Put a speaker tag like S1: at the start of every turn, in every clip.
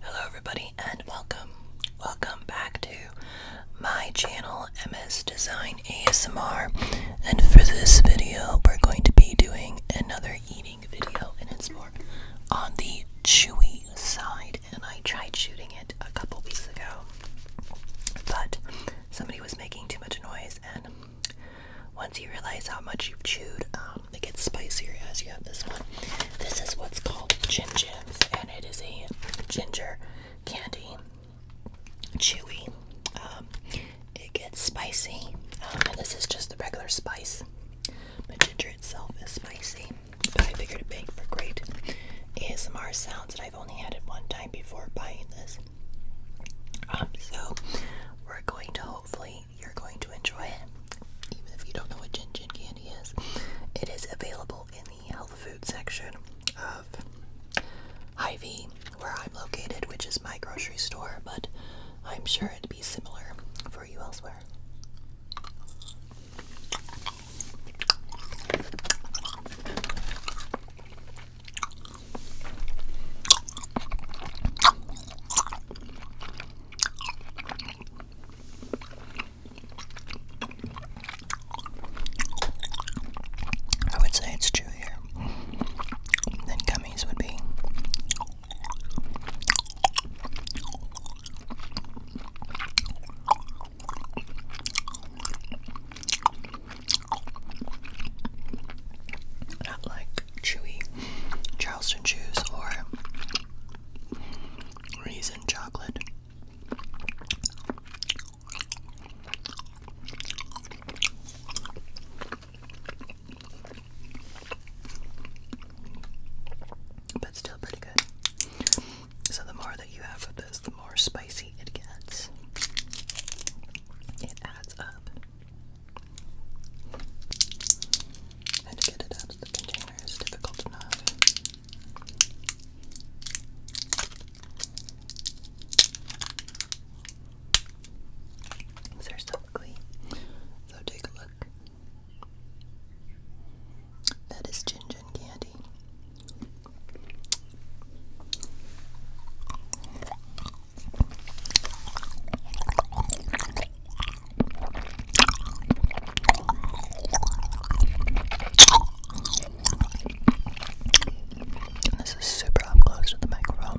S1: Hello, everybody, and welcome. Welcome back to my channel, MS Design ASMR. And for this video, we're going to be doing another eating video, and it's more on the chewy side. And I tried shooting it a couple weeks ago, but somebody was making too much noise and once you realize how much you've chewed, um, it gets spicier as you have this one. This is what's called Gin Jams, and it is a ginger candy, chewy. Um, it gets spicy, um, and this is just the regular spice. But ginger itself is spicy. But I figured it made for great ASMR sounds, I've only had it one time before buying this. Um, so we're going to hopefully you're going to enjoy it, even if you don't know what ginger candy is. It is available in the health food section of Ivy, where I'm located, which is my grocery store, but I'm sure it'd be similar for you elsewhere. I would say it's true here. Then gummies would be. Not like chewy Charleston chews or raisin chocolate. But still pretty good. So the more that you have of this, the more spicy it gets. It adds up. And to get it out of the container is difficult enough. They're so ugly. So take a look. That is ginger gin candy. this is super up close to the microphone.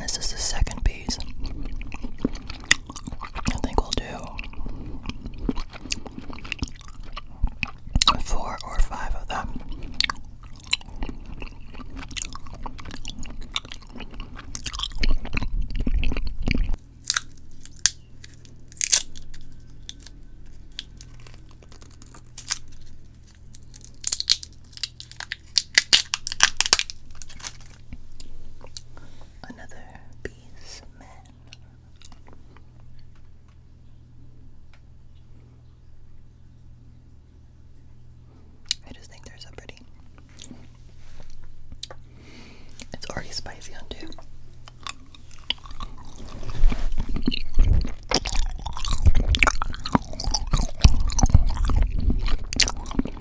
S1: This is the second piece. I think we'll do four or five of them. Another piece man. I just think they're so pretty. It's already spicy on two.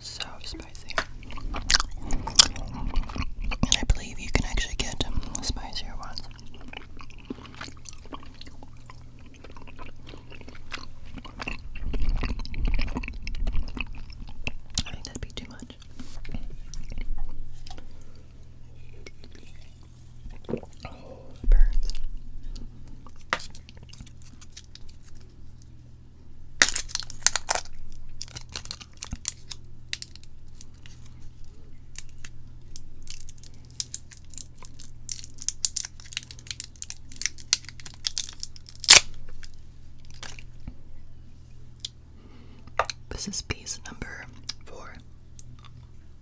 S1: So spicy. And I believe you can actually get spicier ones. I think that'd be too much. Oh, burns. This is piece number four.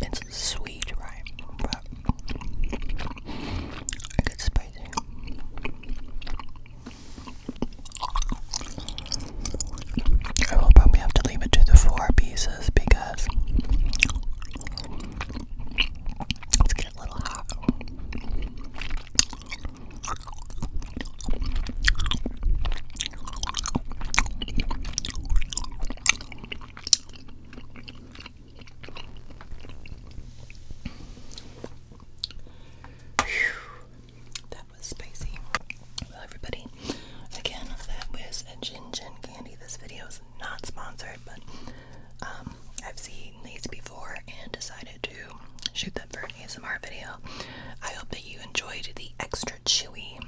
S1: It's sweet, right? But it gets spicy. I will probably have to leave it to the four pieces because it's getting a little hot. That was spicy. Well, everybody, again, that was a Gin candy. This video is not sponsored, but um, I've seen these before and decided to shoot them for an ASMR video. I hope that you enjoyed the extra chewy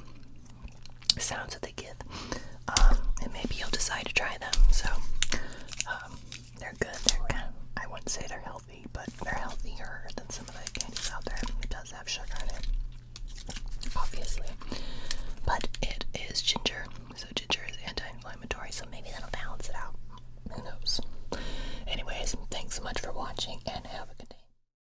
S1: sounds that they give. Um, and maybe you'll decide to try them. So um, they're good. They're kind I wouldn't say they're healthy, but they're healthier than some of the candies out there. It does have sugar in it, obviously. But it is ginger, so ginger is anti-inflammatory, so maybe that'll balance it out. Who knows? Anyways, thanks so much for watching, and have a good day.